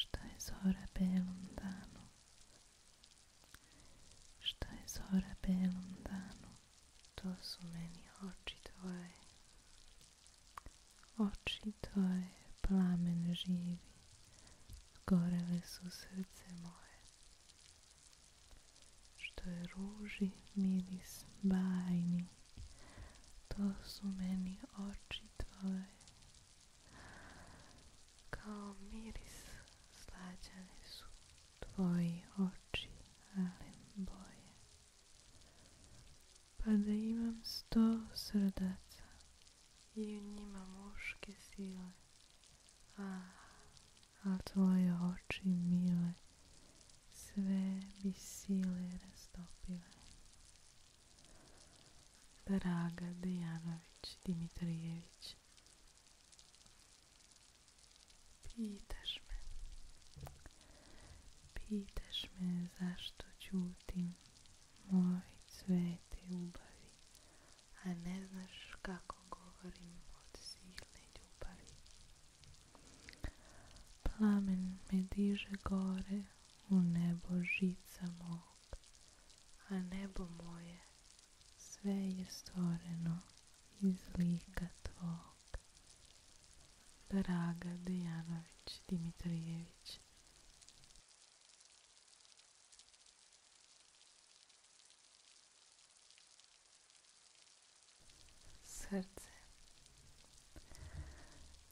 Šta je zora belom danu? Šta je zora belom danu? To su meni oči tvoje. Oči tvoje, plamen živi, gorele su srce moje. Što je ruži miris bajni, to su meni oči tvoje. Kao miris slađane su tvoji oči, ale boje pa da imam sto srdaca i u njima muške sile. A, a tvoje oči mile sve bi sile rastopile. Draga Dejanović Dimitrijević Pitaš me. Pitaš me zašto ćutim. Moj sveti ljubavi, A ne znaš kako govorim od silne ljubavi. Plamen me diže gore u nebo žica mog. A nebo moje sve je stvoreno iz lika tvog Draga Dejanović Dimitrijević Srce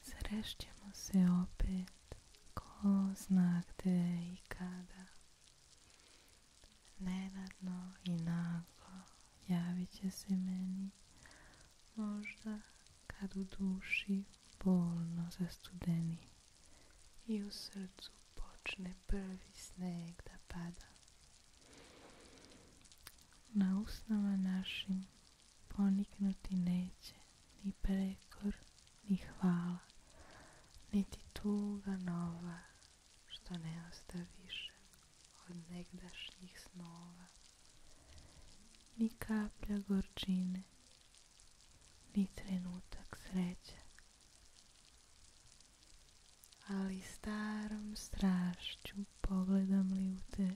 Srešćemo se opet ko zna gde i kada Neradno i naglo javit će se meni, možda kad u duši bolno zastudeni i u srcu počne prvi sneg da pada. Na usnama našim poniknuti neće ni prekor, ni hvala, niti tuga nova što ne ostaviše od negdašnjih snova, ni kaplja gorčine, ni trenutak sreće. Ali starom strašću pogledam li u te,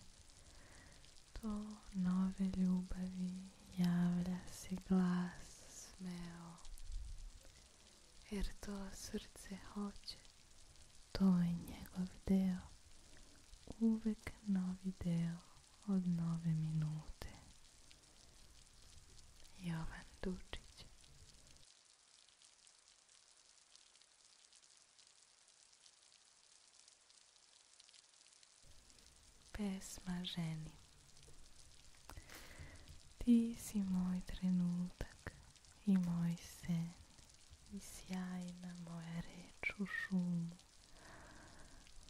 to nove ljubavi javlja se glas smeo jer to srce hoće. To je njegov deo, uvek novi deo od nove minute. Jovan Dučić Pesma ženi Ti si moj trenutak i moj sen i sjajna moja reč u šumu.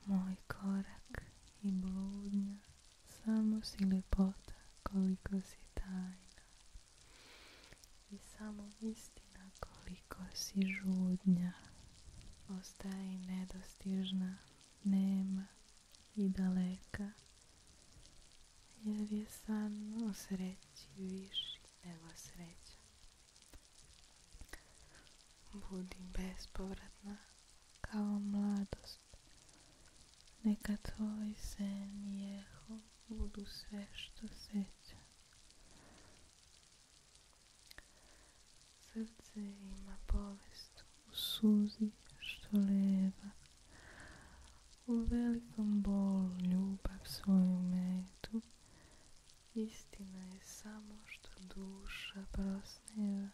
Moj korak i bludnja, samo si ljepota koliko si tajna. I samo istina koliko si žudnja. Ostaje i nedostižna, nema i daleka jer je sam u sreći viši nego sreća. Budi bespovratna kao mladost. Neka tvoj sen i jeho budu sve što seća. Srce ima povijest u suzi što leva, u velikom bolu ljubav svoju metu, istina je samo što duša prosneva,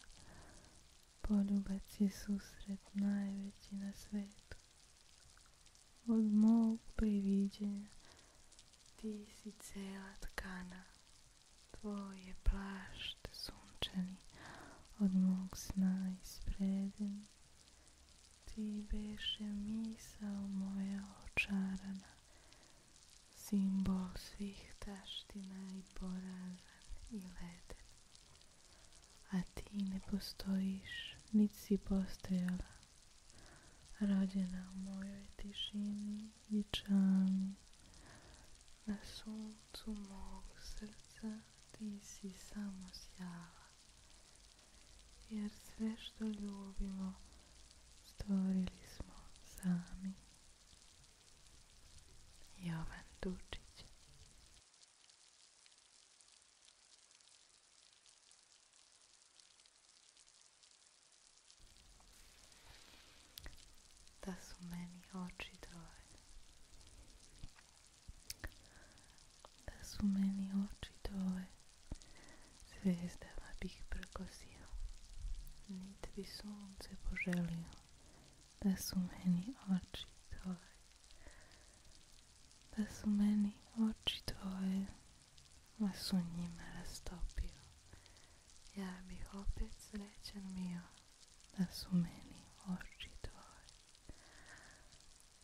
poljubac je susret najveći na svetu. Od mog priviđenja ti si cela tkana, tvoj je plašt sunčani, od mog sna ispredin, ti beše misao moja očarana, simbol svih taština i porazan i leden. A ti ne postojiš, niti si postojala, rođena u mojoj tišini i čami, na suncu mog srca ti si samo sjava, jer sve što ljubimo stvorili smo sami. Jovan Dučić Da su meni oči dovoljne da su meni oči toje. zvezdama bih prkosio. Nit bi sunce poželio, da su meni oči tvoje. Da su meni oči tvoje, a su njima rastopio. Ja bih opet srećan bio da su meni oči tvoje,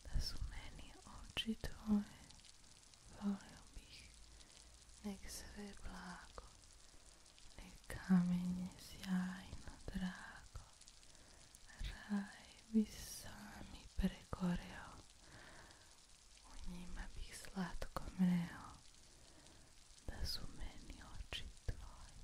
da su meni oči tvoje, volio bih, nek sve blago, nek kamenje sjajno drago, raj bi sami pregoreo, u njima bih slatko mreo, da su meni oči tvoje.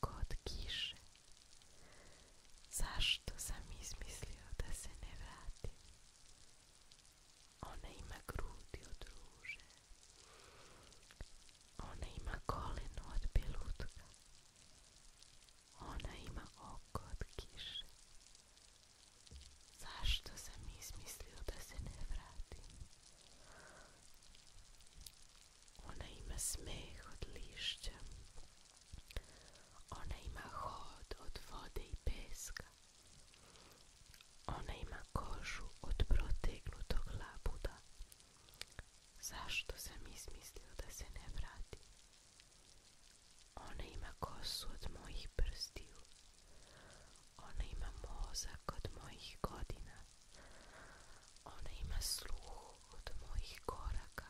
Kod kiše. Zašto sam izmislio da se ne vratim? Ona ima grudi od Ona ima koleno od belutka. Ona ima oko od kiše. Zašto sam izmislio da se ne vratim? Ona ima smeh od lišća. Ona ima hod od vode i peska. Ona ima kožu od protegnutog labuda. Zašto sam izmislio da se ne vrati? Ona ima kosu od mojih prstiju. Ona ima mozak od mojih godina. Ona ima sluh od mojih koraka.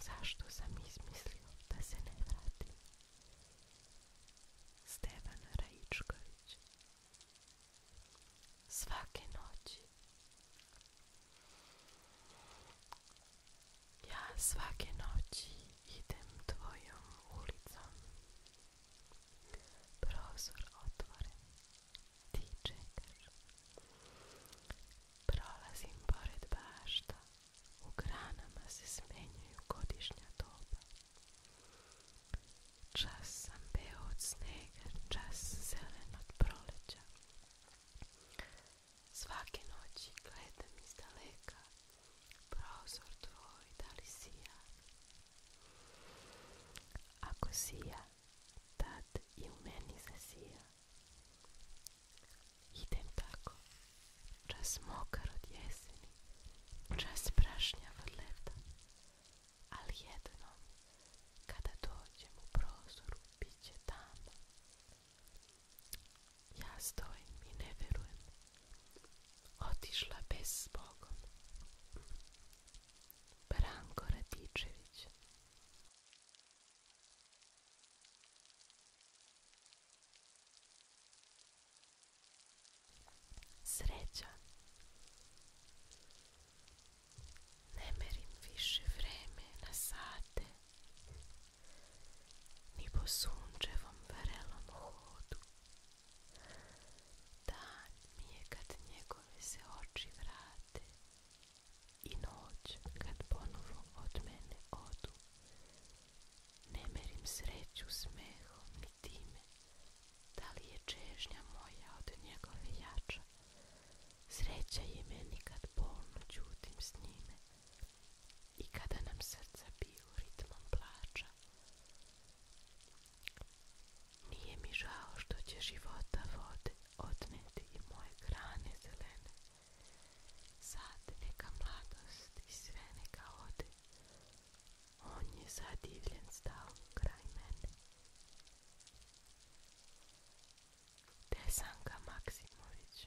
Zašto sam izmislio da se ne vratim? Stevan Rajčković Svake noći Ja svake noći idem tvojom ulicom Prozor otvoren. Ti čekaš. Prolazim pored bašta. U granama se smenjuju godišnja doba. Čas sam beo od snega, čas zelen od proleća. Svake noći gledam iz daleka, prozor tvoj da li sija, ako sija, tad i u meni zasija. Idem tako, čas mokar od jeseni, čas prašnja od leta, ali jednom, kada dođem u prozoru, bit će tamo. Ja stojim i ne verujem otišla bez s Branko Radičević Sreća Ne više vreme na sate Ni po sunčevom hodu Dan mi je kad njegove se oči vrate i noć kad ponovo od mene odu. Ne merim sreću smehom i time, da li je čežnja moja od njegove jača. Sreća je meni kad polno ćutim s njime i kada nam srca biju ritmom plača. Nije mi žao što će života vode odneti i moje grane zelene. Sad neka mladost i sve neka ode. On je zadivljen stao kraj mene. Tesanka Maksimović